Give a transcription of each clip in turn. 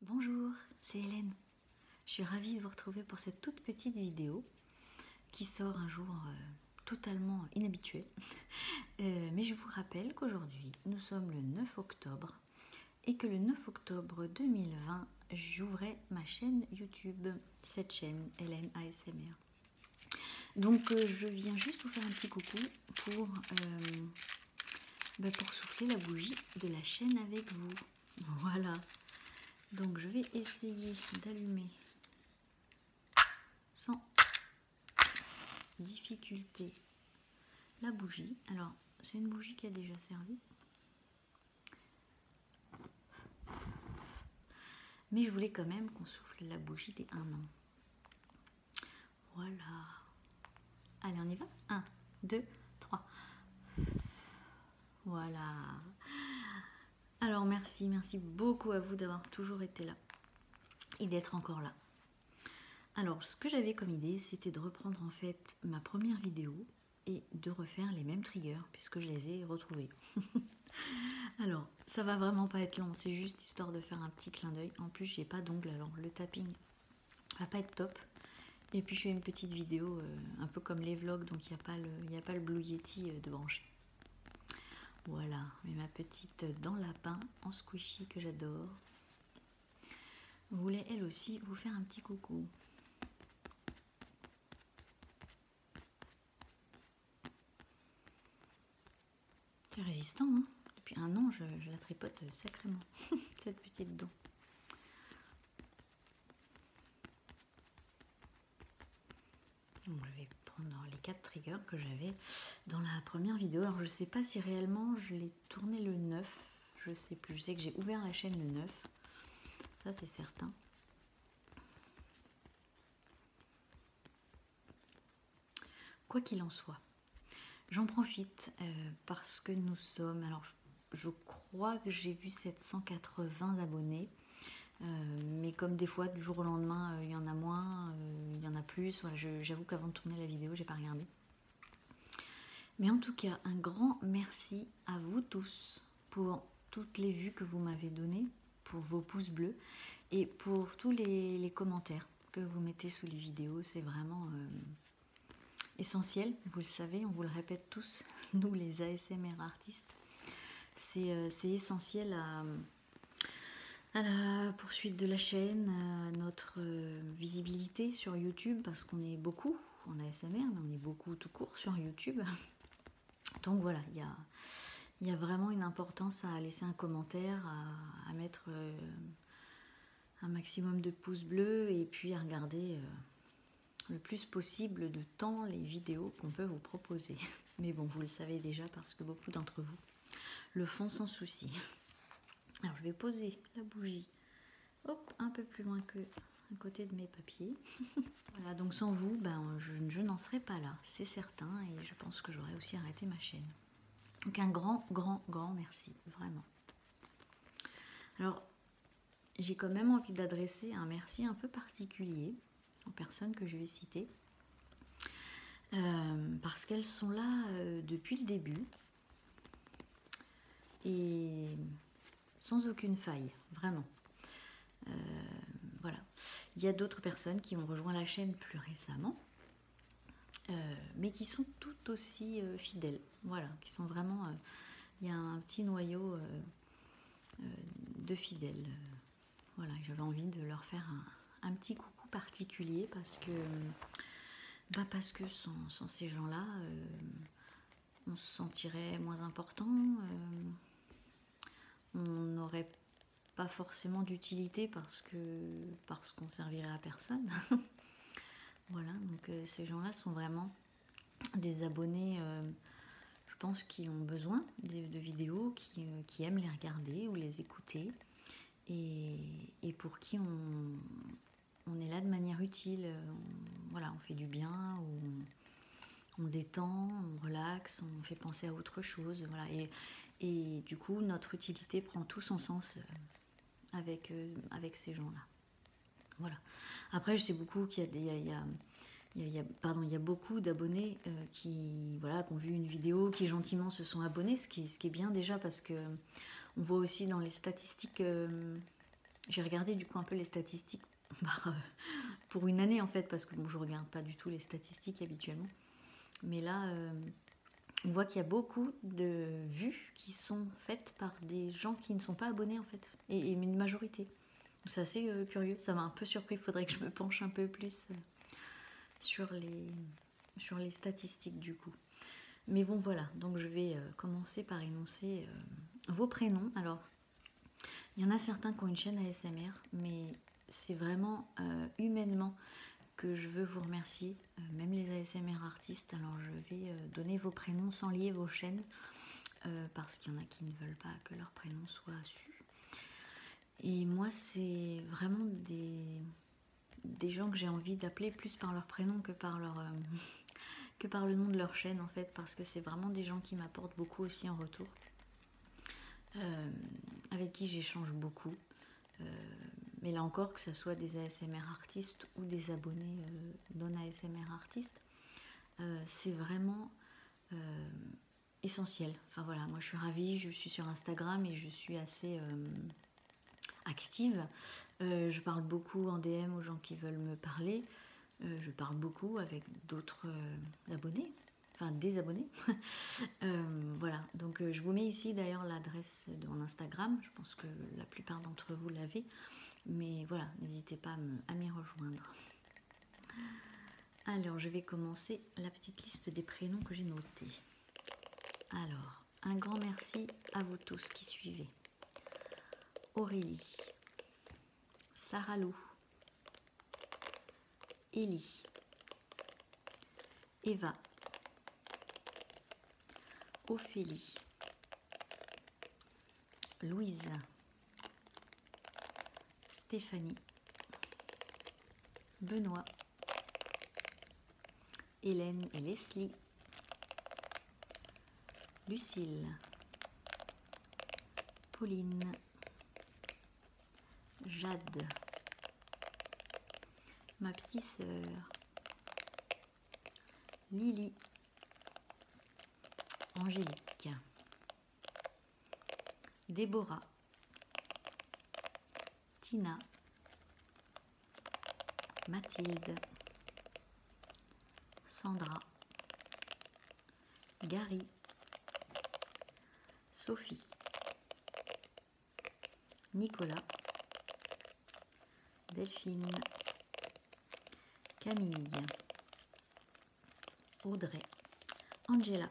Bonjour, c'est Hélène. Je suis ravie de vous retrouver pour cette toute petite vidéo qui sort un jour euh, totalement inhabituel. Euh, mais je vous rappelle qu'aujourd'hui, nous sommes le 9 octobre et que le 9 octobre 2020, j'ouvrais ma chaîne YouTube, cette chaîne Hélène ASMR. Donc euh, je viens juste vous faire un petit coucou pour, euh, bah, pour souffler la bougie de la chaîne avec vous. Voilà. Donc je vais essayer d'allumer sans difficulté la bougie. Alors c'est une bougie qui a déjà servi mais je voulais quand même qu'on souffle la bougie des 1 an. Voilà. Allez, on y va 1, 2, 3. Voilà. Alors merci, merci beaucoup à vous d'avoir toujours été là et d'être encore là. Alors ce que j'avais comme idée, c'était de reprendre en fait ma première vidéo et de refaire les mêmes triggers puisque je les ai retrouvés. Alors ça va vraiment pas être long, c'est juste histoire de faire un petit clin d'œil. En plus, j'ai pas d'ongles, alors le tapping va pas être top. Et puis, je fais une petite vidéo, euh, un peu comme les vlogs, donc il n'y a, a pas le Blue Yeti euh, de brancher. Voilà, mais ma petite dans lapin en squishy que j'adore voulait elle aussi vous faire un petit coucou. C'est résistant, hein depuis un an je, la tripote euh, sacrément, cette petite dent. je vais prendre les quatre triggers que j'avais dans la première vidéo. Alors je sais pas si réellement je l'ai tourné le 9, je sais plus, je sais que j'ai ouvert la chaîne le 9, ça c'est certain. Quoi qu'il en soit, j'en profite euh, parce que nous sommes, alors je, crois que j'ai vu 780 abonnés, euh, mais comme des fois du jour au lendemain euh, il y en a moins, il y en a plus, j'avoue qu'avant de tourner la vidéo j'ai pas regardé. Mais en tout cas, un grand merci à vous tous pour toutes les vues que vous m'avez données, pour vos pouces bleus et pour tous les, commentaires que vous mettez sous les vidéos. C'est vraiment euh, essentiel, vous le savez, on vous le répète tous, nous les ASMR artistes. C'est euh, essentiel à, la poursuite de la chaîne, notre euh, visibilité sur YouTube, parce qu'on est beaucoup en ASMR, mais on est beaucoup tout court sur YouTube. Donc voilà, il y a, il y a vraiment une importance à laisser un commentaire, à, mettre euh, un maximum de pouces bleus et puis à regarder euh, le plus possible de temps les vidéos qu'on peut vous proposer. Mais bon, vous le savez déjà parce que beaucoup d'entre vous le font sans souci. Alors je vais poser la bougie un peu plus loin que à côté de mes papiers. voilà, donc sans vous, ben, je, je n'en serais pas là, c'est certain et je pense que j'aurais aussi arrêté ma chaîne. Donc un grand, grand, grand merci, vraiment. Alors, j'ai quand même envie d'adresser un merci un peu particulier aux personnes que je vais citer, euh, parce qu'elles sont là euh, depuis le début et sans aucune faille, vraiment. Euh, voilà. Il y a d'autres personnes qui ont rejoint la chaîne plus récemment, euh, mais qui sont tout aussi euh, fidèles. Voilà, qui sont vraiment. Euh, il y a un petit noyau de fidèles. Voilà, j'avais envie de leur faire un, petit coucou particulier parce que, bah parce que sans, ces gens-là, on se sentirait moins important. on aurait pas forcément d'utilité parce que parce qu'on servirait à personne. voilà, donc euh, ces gens-là sont vraiment des abonnés, euh, je pense, qui ont besoin de, vidéos, euh, qui, aiment les regarder ou les écouter, et, pour qui on, on, est là de manière utile. On, voilà, on fait du bien, ou on, détend, on relaxe, on fait penser à autre chose. Voilà, et du coup, notre utilité prend tout son sens euh, avec, euh, avec ces gens-là. Voilà. Après, je sais beaucoup qu'il y a, pardon, il y a beaucoup d'abonnés euh, qui, voilà, ont vu une vidéo, qui gentiment se sont abonnés, ce qui, est bien déjà parce que on voit aussi dans les statistiques. J'ai regardé du coup un peu les statistiques pour une année en fait, parce que je ne regarde pas du tout les statistiques habituellement. Mais là, on voit qu'il y a beaucoup de vues qui sont faites par des gens qui ne sont pas abonnés en fait, et, une majorité. C'est assez euh, curieux, ça m'a un peu surpris, il faudrait que je me penche un peu plus euh, sur, les, statistiques du coup. Mais bon voilà, donc je vais euh, commencer par énoncer vos prénoms. Alors, il y en a certains qui ont une chaîne ASMR, mais c'est vraiment humainement que je veux vous remercier, euh, même les ASMR artistes. Alors je vais euh, donner vos prénoms sans lier vos chaînes, euh, parce qu'il y en a qui ne veulent pas que leur prénom soit su. Et moi, c'est vraiment des, gens que j'ai envie d'appeler plus par leur prénom que par, le nom de leur chaîne, en fait, parce que c'est vraiment des gens qui m'apportent beaucoup aussi en retour, avec qui j'échange beaucoup. Euh, mais là encore, que ce soit des ASMR artistes ou des abonnés euh, non ASMR artistes, euh, c'est vraiment essentiel. Enfin voilà, moi je suis ravie, je suis sur Instagram et je suis assez active. je parle beaucoup en DM aux gens qui veulent me parler. je parle beaucoup avec d'autres abonnés, enfin des abonnés. Euh, voilà, donc euh, je vous mets ici d'ailleurs l'adresse de mon Instagram, je pense que la plupart d'entre vous l'avez, mais voilà, n'hésitez pas à m'y rejoindre. Alors, je vais commencer la petite liste des prénoms que j'ai notés. Alors, un grand merci à vous tous qui suivez. Aurélie, Sarah Lou, Ellie, Eva, Ophélie, Louise, Stéphanie, Benoît, Hélène et Leslie, Lucille, Pauline, Jade, ma petite sœur, Lily, Angélique, Déborah, Tina, Mathilde, Sandra, Gary, Sophie, Nicolas, Delphine, Camille, Audrey, Angela,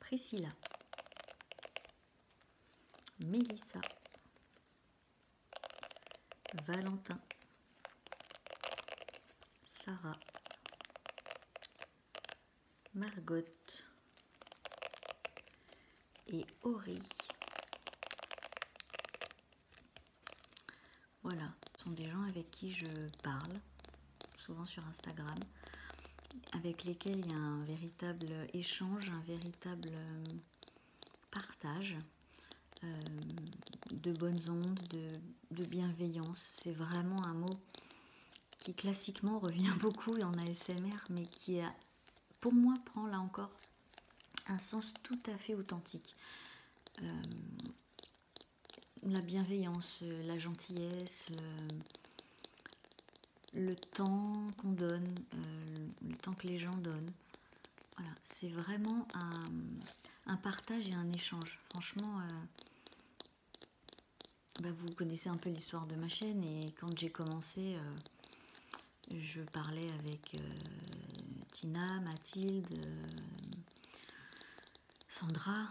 Priscilla, Mélissa, Valentin, Sarah, Margot et Ori. Voilà, sont des gens avec qui je parle, souvent sur Instagram, avec lesquels il y a un véritable échange, un véritable euh, partage euh, de bonnes ondes, de, de bienveillance. C'est vraiment un mot qui classiquement revient beaucoup en ASMR, mais qui a, euh, pour moi prend là encore un sens tout à fait authentique. Euh, la bienveillance, euh, la gentillesse, le, temps qu'on donne, le temps que les gens donnent. Voilà, c'est vraiment un, partage et un échange. Franchement, bah, vous connaissez un peu l'histoire de ma chaîne et quand j'ai commencé, euh, je parlais avec euh, Tina, Mathilde, euh, Sandra,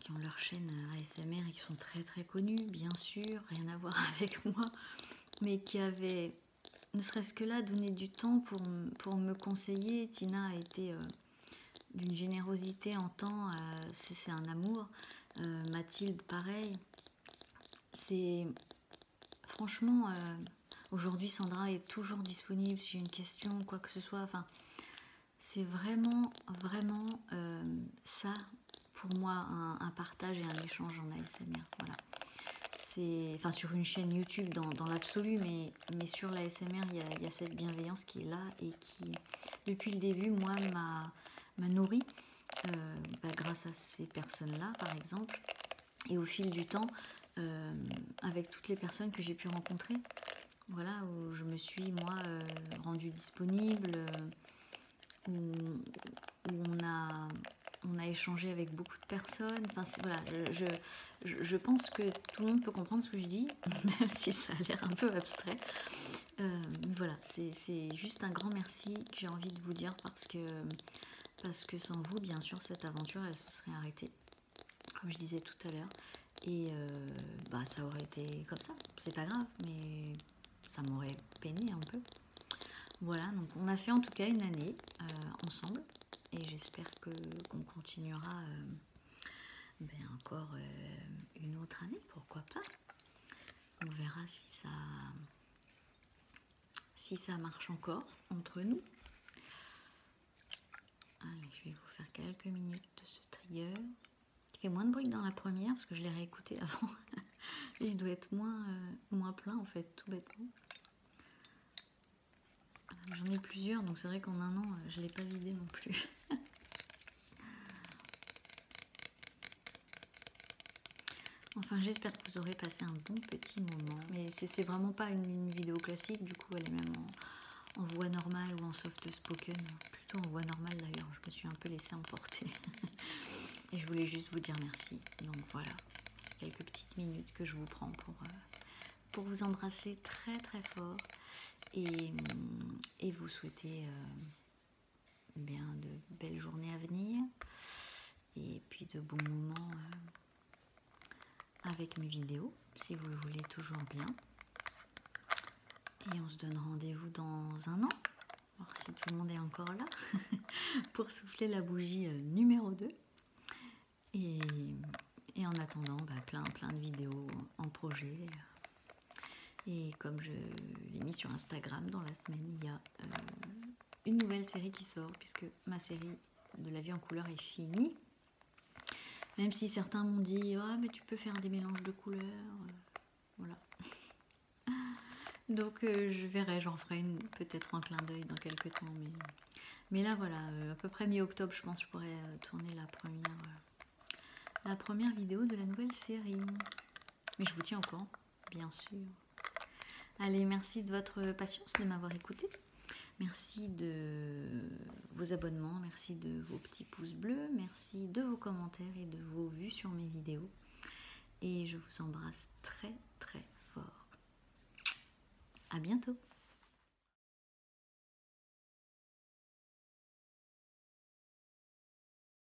qui ont leur chaîne ASMR et qui sont très très connues, bien sûr, rien à voir avec moi, mais qui avaient, ne serait-ce que là, donné du temps pour, pour me conseiller. Tina a été d'une générosité en temps, c'est un amour. Euh, Mathilde, pareil. C'est franchement, euh, aujourd'hui, Sandra est toujours disponible si j'ai une question, quoi que ce soit. c'est vraiment, vraiment euh, ça pour moi un, partage et un échange en ASMR. Voilà. C'est enfin sur une chaîne YouTube dans, l'absolu, mais, mais sur l'ASMR, il y a cette bienveillance qui est là et qui, depuis le début, moi, m'a m'a nourri euh, bah, grâce à ces personnes-là, par exemple. Et au fil du temps, euh, avec toutes les personnes que j'ai pu rencontrer, voilà, où je me suis, moi, euh, rendue disponible, où, on, a, on a échangé avec beaucoup de personnes. je pense que tout le monde peut comprendre ce que je dis, même si ça a l'air un peu abstrait. Euh, voilà, c'est juste un grand merci que j'ai envie de vous dire parce que, sans vous, bien sûr, cette aventure, elle se serait arrêtée, comme je disais tout à l'heure. Et euh, bah, ça aurait été comme ça, c'est pas grave, mais ça m'aurait peiné un peu. Voilà, donc on a fait en tout cas une année euh, ensemble et j'espère qu'on continuera ben, encore une autre année, pourquoi pas. On verra si ça, si ça marche encore entre nous. je vais vous faire quelques minutes de ce trigger. Il fait moins de bruit dans la première parce que je l'ai réécouté avant. Il doit être moins, euh, moins plein en fait, tout bêtement. J'en ai plusieurs, donc c'est vrai qu'en un an, euh, je ne l'ai pas vidé non plus. Enfin, j'espère que vous aurez passé un bon petit moment. Mais c'est vraiment pas une, vidéo classique, du coup, elle est même en, voix normale ou en soft spoken. Plutôt en voix normale d'ailleurs, je me suis un peu laissée emporter. Et je voulais juste vous dire merci. Donc voilà, quelques petites minutes que je vous prends pour, euh, vous embrasser très très fort et, vous souhaiter euh, bien de belles journées à venir et puis de bons moments euh, avec mes vidéos si vous le voulez toujours bien et on se donne rendez-vous dans un an voir si tout le monde est encore là pour souffler la bougie euh, numéro 2 et, en attendant bah, plein plein de vidéos en projet et comme je l'ai mis sur Instagram, dans la semaine, il y a euh, une nouvelle série qui sort, puisque ma série de la vie en couleur est finie. Même si certains m'ont dit Ah, mais tu peux faire des mélanges de couleurs. Euh, voilà. Donc euh, je verrai, j'en ferai peut-être un clin d'œil dans quelques temps. Mais, là, voilà, à peu près mi-octobre, je pense que je pourrais tourner la première, la première vidéo de la nouvelle série. Mais je vous tiens au courant bien sûr. Allez, merci de votre patience, de m'avoir écouté. Merci de vos abonnements, merci de vos petits pouces bleus, merci de vos commentaires et de vos vues sur mes vidéos. Et je vous embrasse très très fort. À bientôt